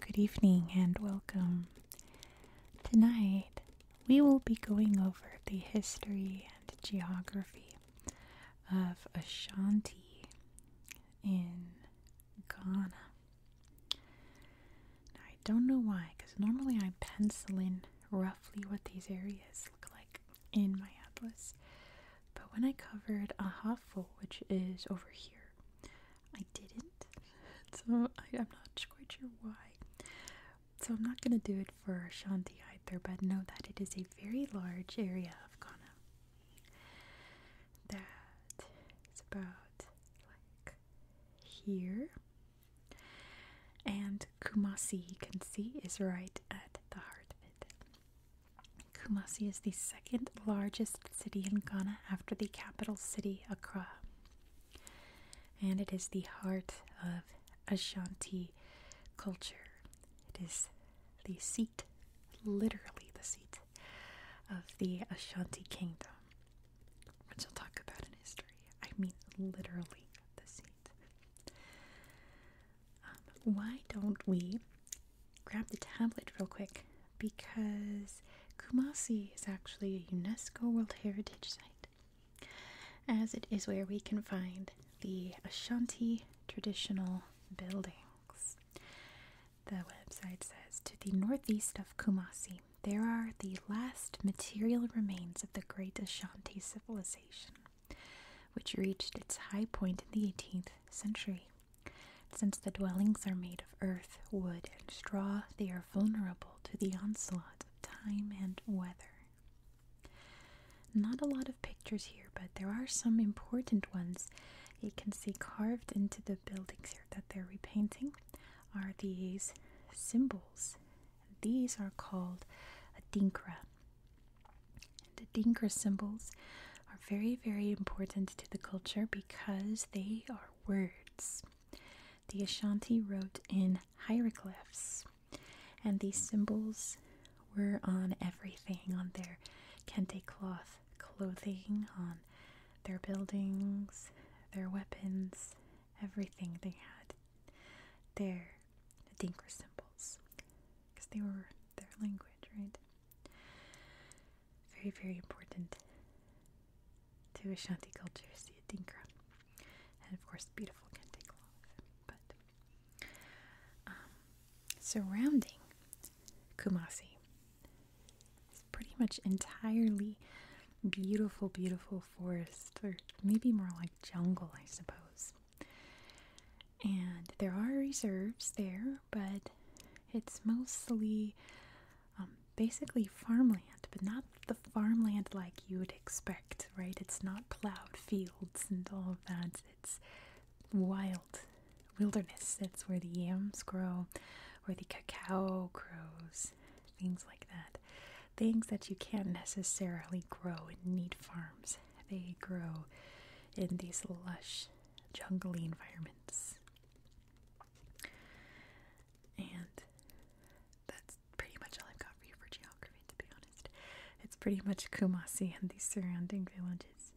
Good evening and welcome. Tonight, we will be going over the history and geography of Ashanti in Ghana. Now, I don't know why, because normally I'm penciling roughly what these areas look like in my atlas. But when I covered Ahafo, which is over here, I didn't. So I, am not quite sure why. So I'm not going to do it for Shanti either, but know that it is a very large area of Ghana that is about like here. And Kumasi, you can see, is right at the heart of it. Kumasi is the second largest city in Ghana after the capital city, Accra. And it is the heart of Ashanti culture. It is the seat, literally the seat of the Ashanti Kingdom, which I'll talk about in history. I mean, literally the seat. Um, why don't we grab the tablet real quick? Because Kumasi is actually a UNESCO World Heritage Site, as it is where we can find the Ashanti traditional buildings the website says, to the northeast of Kumasi, there are the last material remains of the great Ashanti civilization, which reached its high point in the 18th century. Since the dwellings are made of earth, wood, and straw, they are vulnerable to the onslaught of time and weather. Not a lot of pictures here, but there are some important ones you can see carved into the buildings here that they're repainting are these symbols. These are called adinkra. And the adinkra symbols are very, very important to the culture because they are words. The Ashanti wrote in hieroglyphs, and these symbols were on everything on their kente cloth clothing, on their buildings, their weapons, everything they had. Their Dinker symbols, because they were their language, right? Very, very important to Ashanti culture, see a Dinka. And of course, beautiful Kente cloth. But um, surrounding Kumasi is pretty much entirely beautiful, beautiful forest, or maybe more like jungle, I suppose. And there are reserves there, but it's mostly um, basically farmland, but not the farmland like you would expect, right? It's not plowed fields and all that. It's wild wilderness. That's where the yams grow, where the cacao grows, things like that. Things that you can't necessarily grow in neat farms. They grow in these lush, jungly environments. And that's pretty much all I've got for you for geography, to be honest. It's pretty much Kumasi and the surrounding villages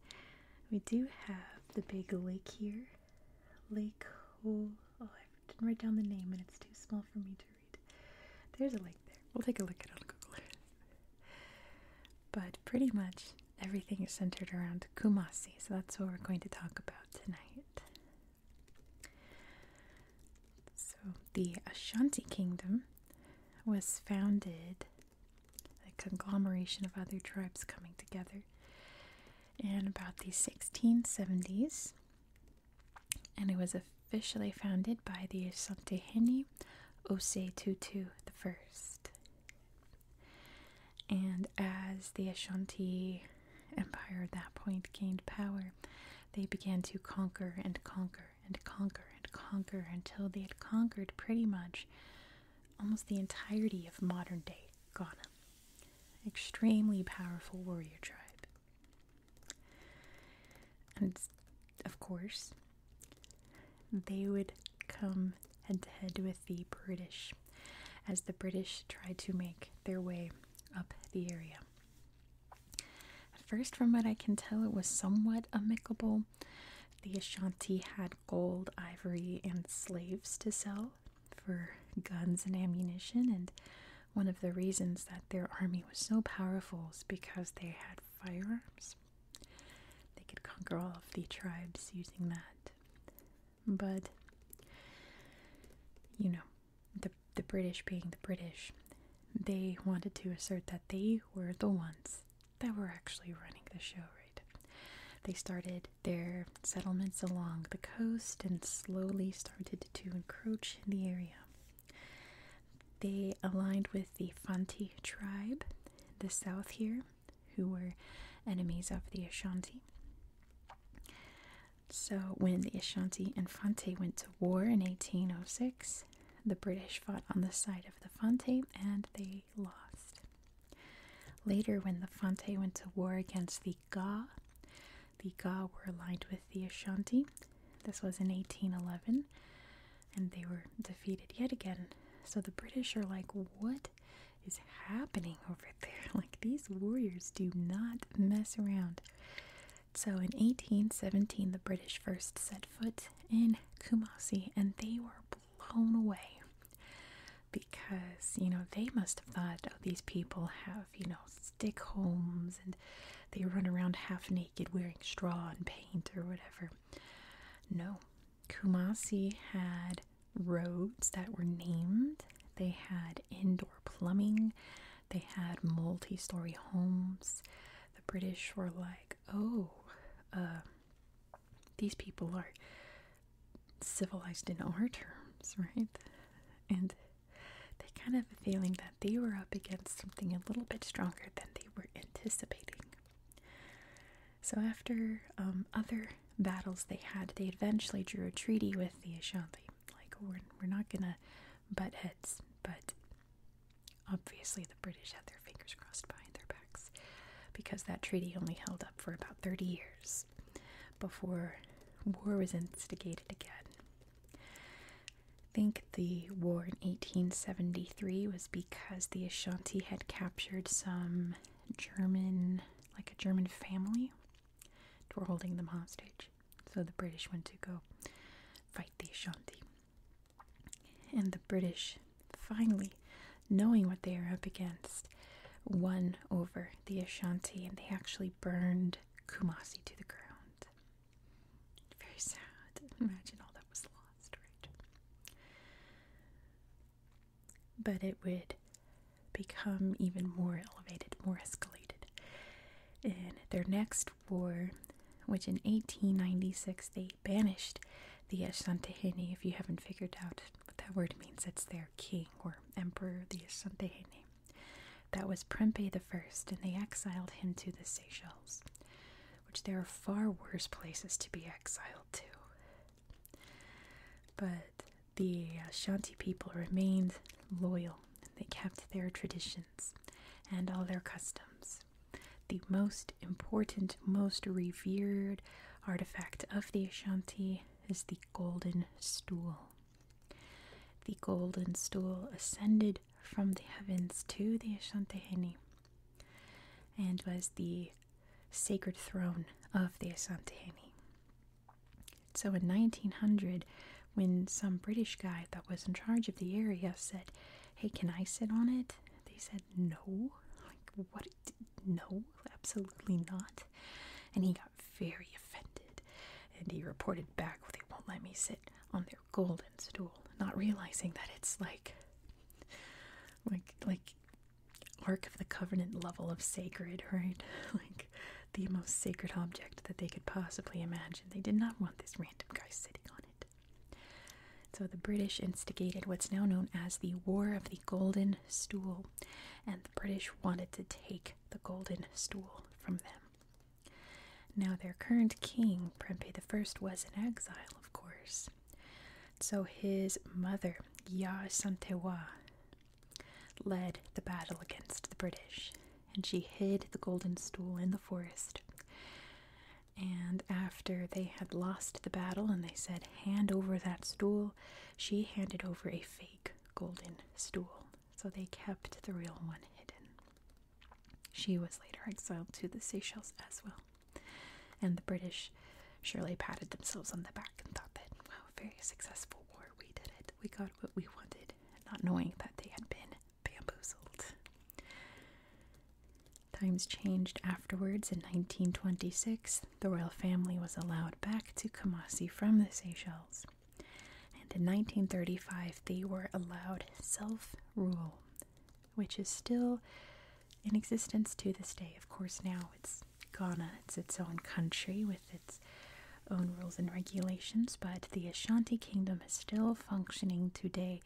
we do have the big lake here. Lake Oh, I didn't write down the name and it's too small for me to read. There's a lake there. We'll take a look at it on Google But pretty much everything is centered around Kumasi, so that's what we're going to talk about tonight. So, the Ashanti Kingdom was founded a conglomeration of other tribes coming together. In about the 1670s, and it was officially founded by the Asantehene Ose Tutu I. And as the Ashanti Empire at that point gained power, they began to conquer and conquer and conquer and conquer until they had conquered pretty much almost the entirety of modern day Ghana. Extremely powerful warrior tribe. And of course, they would come head to head with the British as the British tried to make their way up the area. At first, from what I can tell, it was somewhat amicable, the Ashanti had gold, ivory, and slaves to sell for guns and ammunition, and one of the reasons that their army was so powerful is because they had firearms. They could conquer all of the tribes using that. But, you know, the, the British being the British, they wanted to assert that they were the ones that were actually running the show, right? They started their settlements along the coast and slowly started to encroach in the area. They aligned with the Fanti tribe, the south here, who were enemies of the Ashanti. So, when the Ashanti and Fante went to war in 1806, the British fought on the side of the Fonte and they lost. Later, when the Fonte went to war against the Ga, the Ga were aligned with the Ashanti. This was in 1811, and they were defeated yet again. So the British are like, what is happening over there? Like, these warriors do not mess around. So in 1817, the British first set foot in Kumasi and they were blown away because, you know, they must have thought, oh, these people have, you know, stick homes and they run around half naked wearing straw and paint or whatever. No, Kumasi had roads that were named, they had indoor plumbing, they had multi story homes the British were like, oh, uh, these people are civilized in our terms, right? And they kind of a feeling that they were up against something a little bit stronger than they were anticipating. So after um, other battles they had, they eventually drew a treaty with the Ashanti. Like, we're not gonna butt heads, but obviously the British had their fingers crossed behind their backs because that treaty only held up for about 30 years before war was instigated again. I think the war in 1873 was because the Ashanti had captured some German, like a German family, were holding them hostage. So the British went to go fight the Ashanti. And the British, finally knowing what they are up against, won over the Ashanti and they actually burned Kumasi to the ground. Very sad. Imagine all that was lost, right? But it would become even more elevated, more escalated. In their next War, which in 1896 they banished the Ashanti Asantehene. If you haven't figured out what that word means, it's their king or emperor, the Ashanti Asantehene. That was Prempeh I, and they exiled him to the Seychelles, which there are far worse places to be exiled to. But the Ashanti people remained loyal. They kept their traditions and all their customs. The most important, most revered artifact of the Ashanti is the golden stool. The golden stool ascended from the heavens to the Ashantehene and was the sacred throne of the Asantehene. So in 1900, when some British guy that was in charge of the area said, Hey, can I sit on it? They said, No. Like, what? No, absolutely not. And he got very offended and he reported back, They won't let me sit on their golden stool, not realizing that it's like, like, like, Ark of the Covenant level of sacred, right? like, the most sacred object that they could possibly imagine. They did not want this random guy sitting on it. So the British instigated what's now known as the War of the Golden Stool, and the British wanted to take the Golden Stool from them. Now, their current king, Prempeh I, was in exile, of course. So his mother, Ya Santewa, led the battle against the British and she hid the golden stool in the forest. And after they had lost the battle and they said, Hand over that stool, she handed over a fake golden stool. So they kept the real one hidden. She was later exiled to the Seychelles as well. And the British surely patted themselves on the back and thought that, wow, very successful war. We did it. We got what we wanted not knowing that they had been bamboozled. Times changed afterwards. In 1926, the royal family was allowed back to Kumasi from the Seychelles. And in 1935, they were allowed self rule, which is still in existence to this day. Of course, now it's Ghana, it's its own country with its own rules and regulations, but the Ashanti Kingdom is still functioning today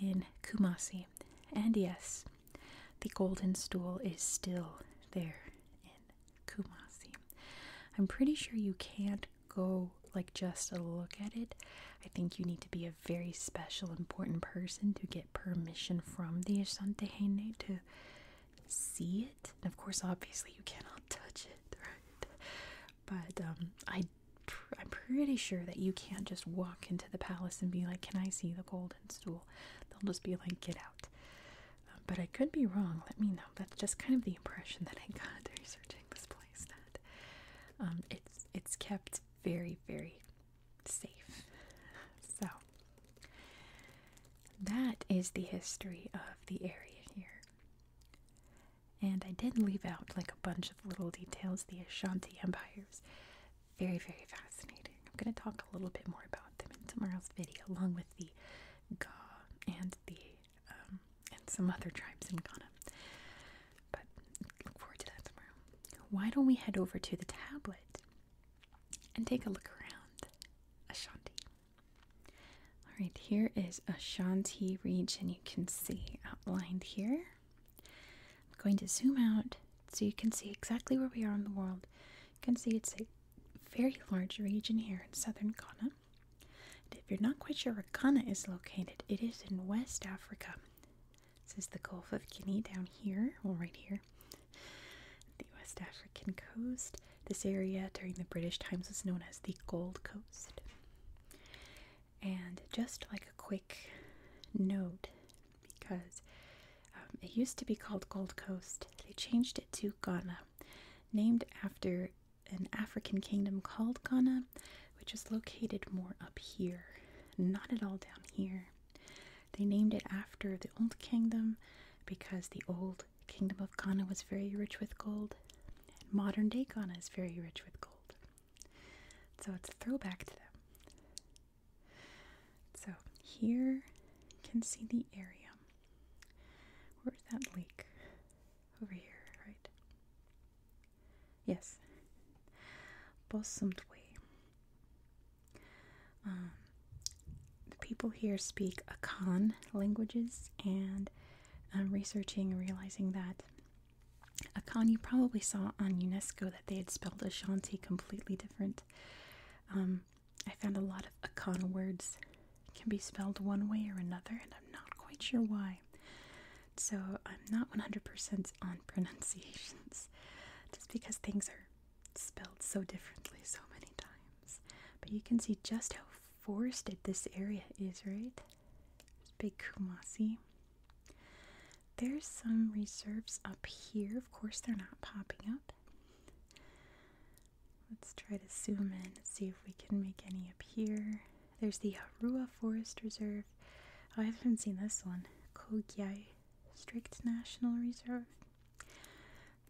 in Kumasi. And yes, the Golden Stool is still there in Kumasi. I'm pretty sure you can't go like just a look at it. I think you need to be a very special, important person to get permission from the Ashanti Hene to see it. And of course, obviously, you cannot touch it, right? But um, I, I'm pretty sure that you can't just walk into the palace and be like, "Can I see the golden stool?" They'll just be like, "Get out." Um, but I could be wrong. Let me know. That's just kind of the impression that I got researching this place. That um, it's it's kept very very safe. So that is the history of the area here. And I did leave out like a bunch of little details, the Ashanti empires. Very, very fascinating. I'm going to talk a little bit more about them in tomorrow's video, along with the Ga and the um, and some other tribes in Ghana. But look forward to that tomorrow. Why don't we head over to the tablet and take a look around Ashanti? All right, here is Ashanti region. You can see outlined here. I'm going to zoom out so you can see exactly where we are in the world. You can see it's a very large region here in southern Ghana. if you're not quite sure where Ghana is located, it is in West Africa. This is the Gulf of Guinea down here, well, right here, the West African coast. This area during the British times was known as the Gold Coast. And just like a quick note, because um, it used to be called Gold Coast, they changed it to Ghana, named after an African kingdom called Ghana, which is located more up here, not at all down here. They named it after the Old Kingdom because the Old the kingdom of Ghana was very rich with gold. modern day Ghana is very rich with gold. So it's a throwback to them. So here you can see the area. Where's that lake? Over here, right? Yes. Bossumtwe. Um, the people here speak Akan languages, and um, researching and realizing that Akan you probably saw on UNESCO that they had spelled Ashanti completely different. Um, I found a lot of Akan words can be spelled one way or another, and I'm not quite sure why. So I'm not 100% on pronunciations, just because things are spelled so differently so many times. But you can see just how forested this area is, right? There's big Kumasi. There's some reserves up here. Of course, they're not popping up. Let's try to zoom in and see if we can make any up here. There's the Harua Forest Reserve. Oh, I haven't seen this one. Kogyai Strict National Reserve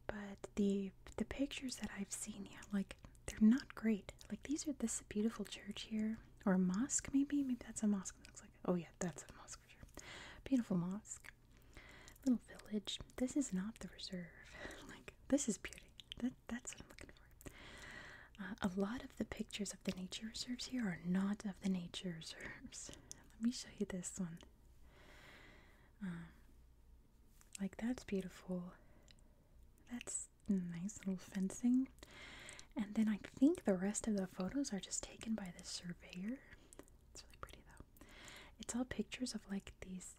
but the the pictures that I've seen, here, like they're not great. Like these are this beautiful church here, or mosque maybe. Maybe that's a mosque. looks like oh yeah, that's a mosque for sure. Beautiful mosque, little village. This is not the reserve. like this is beauty. That that's what I'm looking for. Uh, a lot of the pictures of the nature reserves here are not of the nature reserves. Let me show you this one. Um, like, that's beautiful. That's nice little fencing. And then I think the rest of the photos are just taken by the surveyor. It's really pretty though. It's all pictures of like these,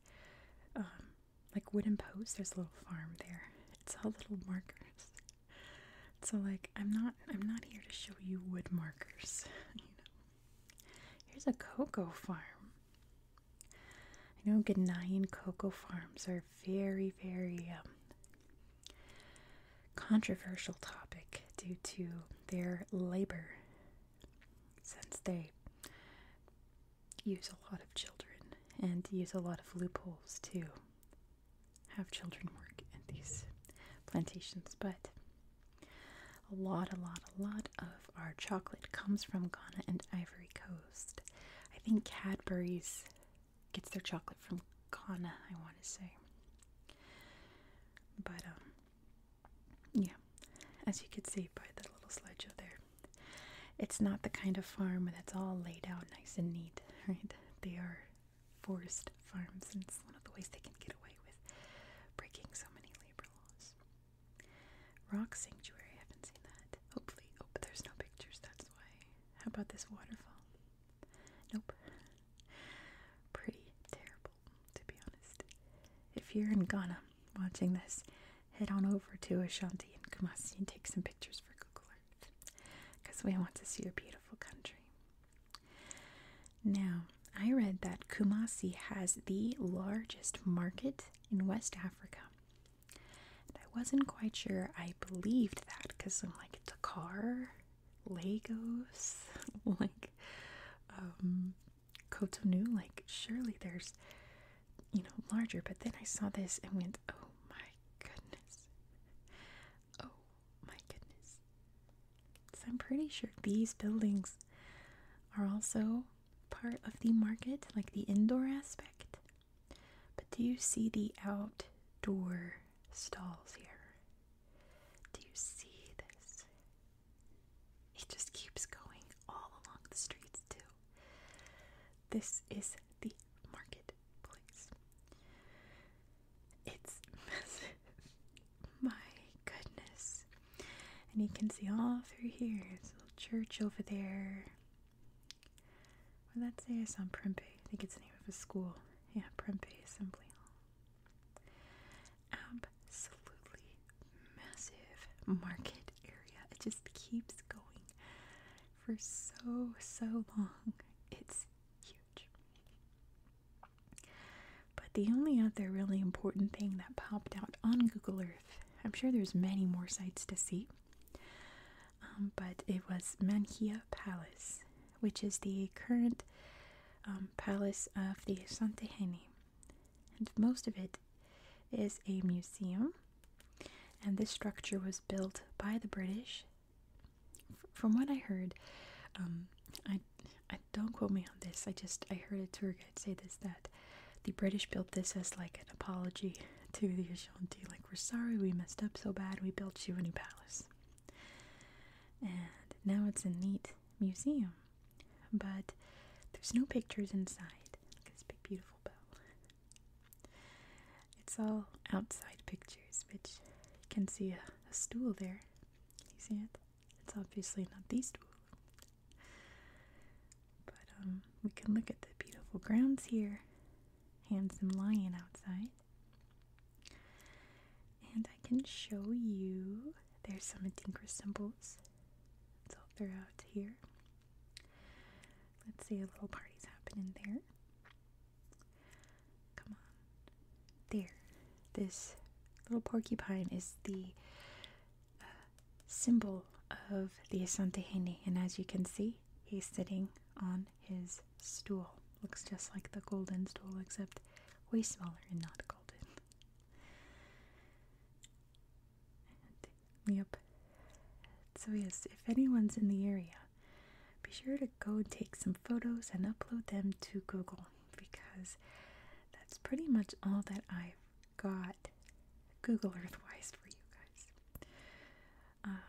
um, like wooden posts. There's a little farm there. It's all little markers. So like, I'm not, I'm not here to show you wood markers. you know, Here's a cocoa farm. I know Ghanaian cocoa farms are very, very um, controversial topic due to their labor, since they use a lot of children and use a lot of loopholes to have children work at these plantations. But a lot, a lot, a lot of our chocolate comes from Ghana and Ivory Coast. I think Cadbury's gets their chocolate from Ghana, I want to say. But, um, yeah, as you can see by the little slideshow there, it's not the kind of farm that's all laid out nice and neat, right? They are forest farms, and it's one of the ways they can get away with breaking so many labor Rock Sanctuary, I haven't seen that. Hopefully, oh, but there's no pictures, that's why. How about this waterfall? Nope. Pretty terrible, to be honest. If you're in Ghana watching this, head on over to Ashanti and Kumasi and take some pictures for Google Earth. Because we want to see your beautiful country. Now, I read that Kumasi has the largest market in West Africa. And I wasn't quite sure I believed that because I'm like, Dakar, Lagos, like, um, Cotonou, like, surely there's, you know, larger. But then I saw this and went, oh my goodness. Oh my goodness. So I'm pretty sure these buildings are also part of the market, like the indoor aspect. But do you see the outdoor stalls here? Do you see this? It just keeps going all along the streets, too. This is the marketplace. It's massive. My goodness. And you can see all through here. There's a little church over there. What did that say? I saw Prempe. I think it's the name of a school. Yeah, Prempe Assembly Hall. Absolutely massive market area. It just keeps going for so, so long. It's huge. But the only other really important thing that popped out on Google Earth, I'm sure there's many more sites to see, um, but it was Manhia Palace, which is the current um, palace of the Santehene. And most of it is a museum, and this structure was built by the British. from what I heard, um, don't quote me on this. I just I heard a tour guide say this that the British built this as like an apology to the Ashanti, like we're sorry we messed up so bad. We built you a new palace, and now it's a neat museum. But there's no pictures inside. this big beautiful bell. It's all outside pictures, which you can see a stool there you see it? It's obviously not these two But um, we can look at the beautiful grounds here. Handsome lion outside. And I can show you there's some Adinkra symbols. It's throughout here. Let's see, a little party's happening there. Come on. There. This little porcupine is the uh, symbol of the Asantehene, and as you can see, he's sitting on his stool. Looks just like the golden stool, except way smaller and not golden. yep. So, yes, if anyone's in the area, be sure to go take some photos and upload them to Google because that's pretty much all that I've got Google Earth wise for you guys. Um,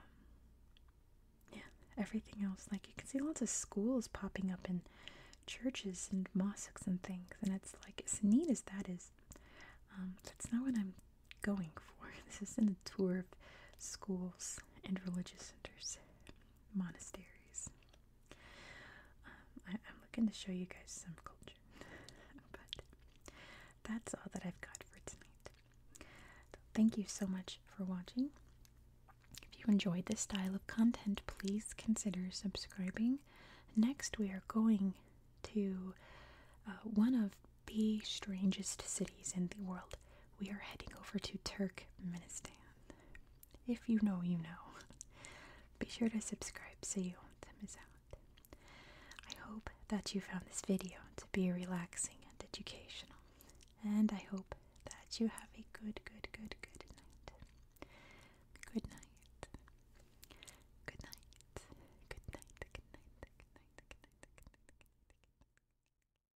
yeah, everything else, like you can see lots of schools popping up and churches and mosques and things, and it's like as neat as that is. Um, that's not what I'm going for. This isn't a tour of schools and religious centers monasteries. Um, I, am looking to show you guys some culture, but that's all that I've got for tonight. thank you so much for watching. If you enjoyed this style of content, please consider subscribing. Next, we are going to uh, one of the strangest cities in the world. We are heading over to Turkmenistan. If you know, you know. Be sure to subscribe so you won't miss out. I hope that you found this video to be relaxing and educational. And I hope that you have a good, good, good, good night. Good night. Good night. Good night. Good night. Good night. Good night. Good night. Good night.